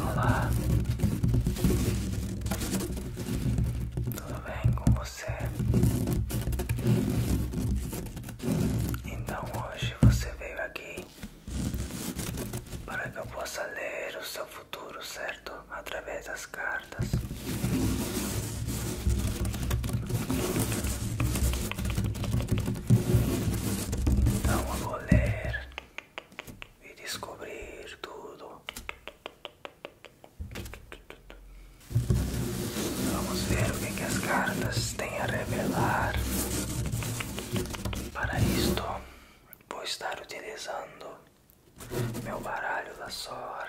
Olá, tudo bem com você? Então hoje você veio aqui para que eu possa ler o seu futuro, certo? Através das cartas. Então eu vou ler e descobrir tudo. Vamos ver o que, as cartas têm a revelar. Para isto, vou estar utilizando meu baralho da sorte.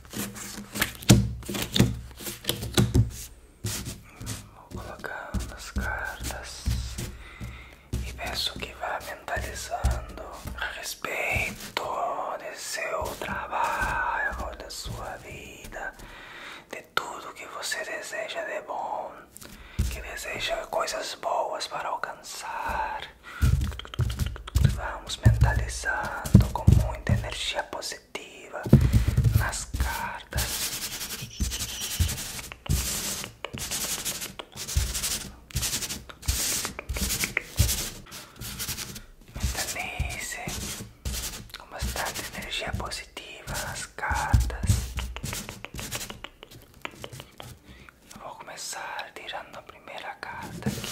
Vou colocando as cartas e peço que vá mentalizando a respeito de seu trabalho, da sua vida, de tudo que você deseja de bom, que deseja coisas boas para alcançar. Vamos mentalizando com muita energia positiva positiva nas cartas. Mentalize com bastante energia positiva nas cartas. vou começar tirando a primeira carta aqui.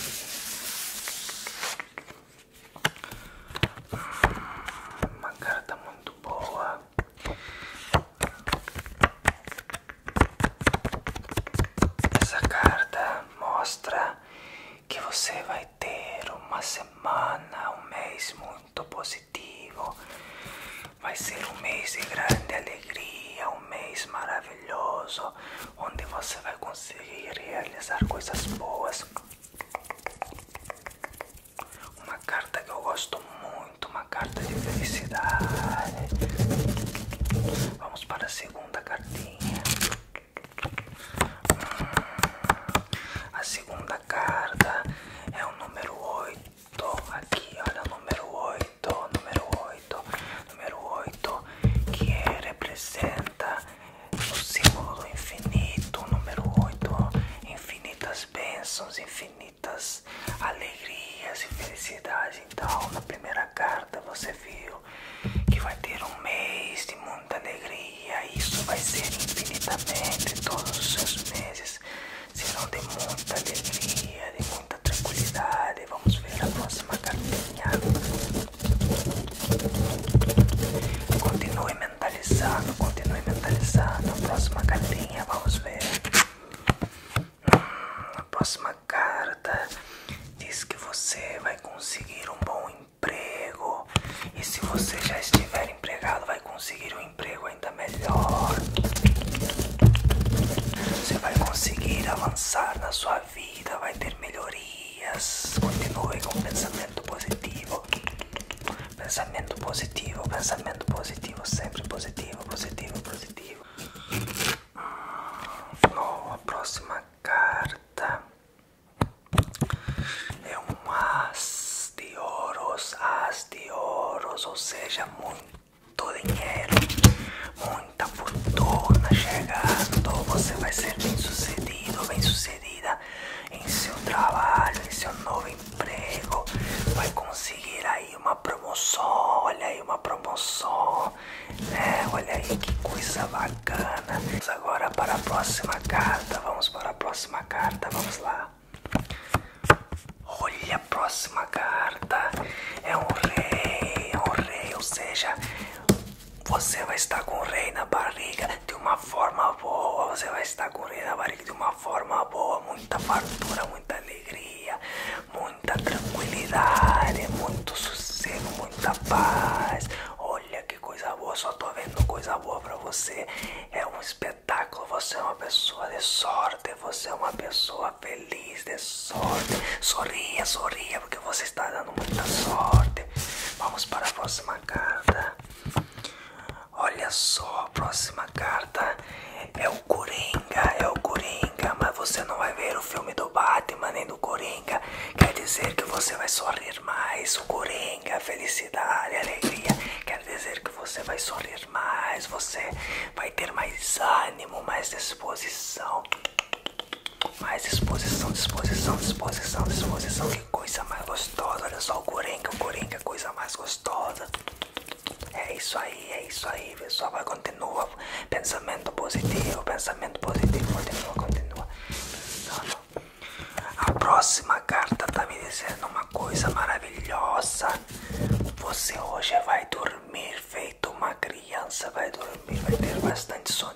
Uma carta muito boa. Essa carta mostra que você vai ter uma semana, um mês muito positivo. Vai ser um mês de grande alegria, um mês maravilhoso, onde você vai conseguir realizar coisas boas. Uma carta que eu gosto muito, uma carta de felicidade. Vamos para a segunda cartinha. Hum, a segunda carta é o número 8. Aqui, olha o número 8, número 8, número 8, que representa o símbolo do infinito, número 8, infinitas bênçãos, infinitas alegrias e felicidade. Então, na primeira carta você viu que vai ter um mês de muita alegria, e isso vai ser infinitamente, todos os seus meses serão de muita alegria, de muita tranquilidade. Vamos ver a próxima cartinha. Continue mentalizando, continue mentalizando. A próxima cartinha, vamos ver. Hum, a próxima carta diz que você vai conseguir um bom emprego. E se você já estiver empregado, vai conseguir um emprego ainda melhor. Você vai conseguir avançar na sua vida, vai ter melhorias. Continue com o pensamento positivo. Pensamento positivo, pensamento positivo, sempre positivo, positivo, positivo. Nova próxima carta é um as de ouros, as de ouros, ou seja, muito dinheiro, muita fortuna chegando. Você vai ser bem sucedido, bem sucedida em seu trabalho, em seu novo emprego, vai conseguir aí uma promoção, olha aí uma promoção, né? Olha aí que coisa bacana. agora para a próxima carta, vamos para a próxima carta, vamos lá. Olha a próxima carta, é um rei, é um rei, ou seja, você vai estar com o rei na barriga de uma forma boa. Você vai estar com o rei na barriga de uma forma boa. Muita fartura, muita alegria, muita tranquilidade, muito sossego, muita paz. Olha que coisa boa, só tô vendo coisa boa pra você. É um espetáculo, você é uma pessoa de sorte, você é uma pessoa feliz de sorte. Sorria, sorria, porque você está dando muita sorte. Vamos para a próxima carta. Olha só, a próxima carta é o Coringa, é o Coringa, mas você não vai ver o filme do Batman nem do Coringa. Quer dizer que você vai sorrir mais. O Coringa, felicidade, alegria. Quer dizer que você vai sorrir mais, você vai ter mais ânimo, mais disposição. Mais disposição, disposição, disposição, disposição. Que coisa mais gostosa. Olha só o coringa, o coringa é coisa mais gostosa. É isso aí, é isso aí, pessoal. Vai, continua. Pensamento positivo, pensamento positivo. Continua, continua. Pensando. A próxima carta tá me dizendo uma coisa maravilhosa. Você hoje vai dormir feito uma criança. Vai dormir, vai ter bastante sono.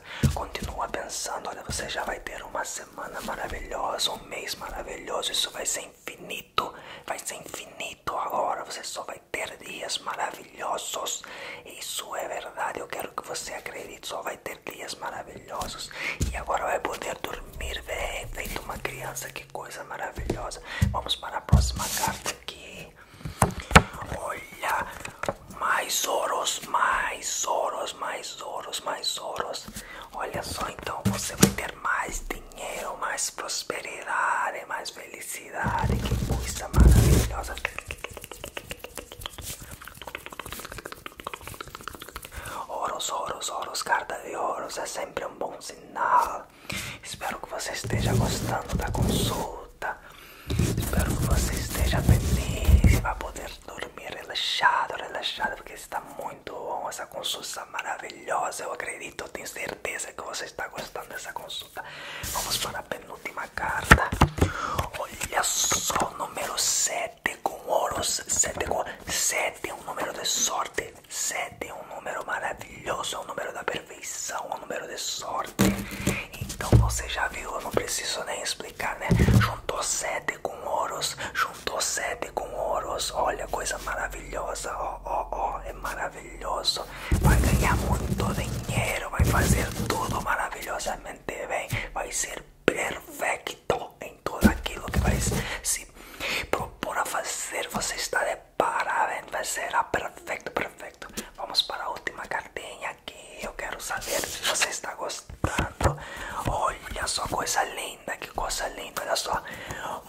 Continua pensando, olha, você já vai ter uma semana maravilhosa, um mês maravilhoso, isso vai ser infinito, vai ser infinito agora, você só vai ter dias maravilhosos, isso é verdade, eu quero que você acredite, só vai ter dias maravilhosos e agora vai poder dormir bem, feito uma criança, que coisa maravilhosa. Vamos para a próxima carta aqui. Olha, mais ouros, mais ouros, mais ouros, mais ouros. Olha só, então você vai ter mais dinheiro, mais prosperidade, mais felicidade. Que coisa maravilhosa. Ouros, ouros, ouros, carta de ouros é sempre um bom sinal. Espero que você esteja gostando da consulta. Espero que você esteja feliz e vai poder dormir relaxado, relaxado, porque está muito bom essa consulta maravilhosa. Eu acredito, eu tenho certeza que você está gostando dessa consulta. Vamos para a penúltima carta. Olha só, o número 7 com ouros. 7 com 7 é um número de sorte. 7 é um número maravilhoso, é um número da perfeição, é um número de sorte. Então você já viu, eu não preciso nem explicar. Junto né? sete com oros, junto sete com oros, Olha, coisa maravilhosa, ó, ó, ó, é maravilhoso. Vai ganhar muito dinheiro, vai fazer tudo maravilhosamente bem, vai ser perfeito em tudo aquilo que vai se propor a fazer. Você está de parabéns, vai ser perfeito, perfeito. Vamos para a última cartinha eu quero saber se você está gostando. Olha só, coisa linda, que coisa linda, olha só.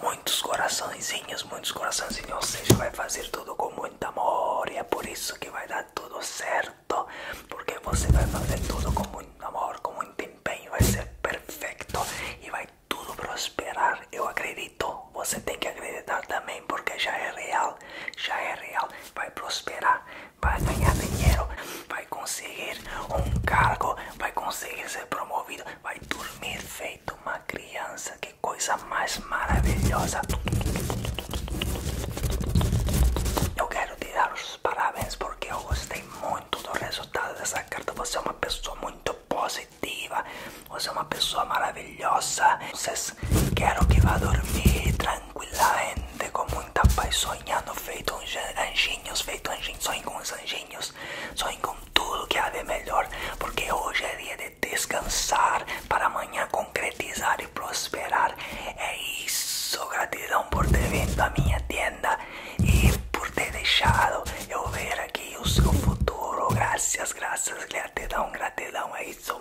Muitos coraçõezinhos, muitos coraçõezinhos, Você vai fazer tudo com muito amor. E é por isso que vai dar tudo certo, porque você vai fazer tudo com muito amor, com muito empenho, vai ser perfeito e vai tudo prosperar. Eu acredito, você tem que acreditar também, porque já é real, já é real, vai prosperar. vai ganhar dinheiro, vai conseguir un cargo, vai conseguir ser promovido, a dormir feito uma criança. Que coisa más maravilhosa! Yo quiero te dar os parabéns porque eu gostei muito do resultado dessa carta. Você é una pessoa muy positiva, você é una persona maravilhosa. quiero quero que a dormir tranquila. com muita paz, sonhando feito anjinhos, feito anjinhos, sonhe com os anjinhos, sonhando com tudo que há de melhor, porque hoje é dia de descansar, para amanhã concretizar e prosperar. É isso, gratidão por ter vindo à minha tenda e por ter deixado eu ver aqui o seu futuro. Graças, graças, gratidão, gratidão, é isso.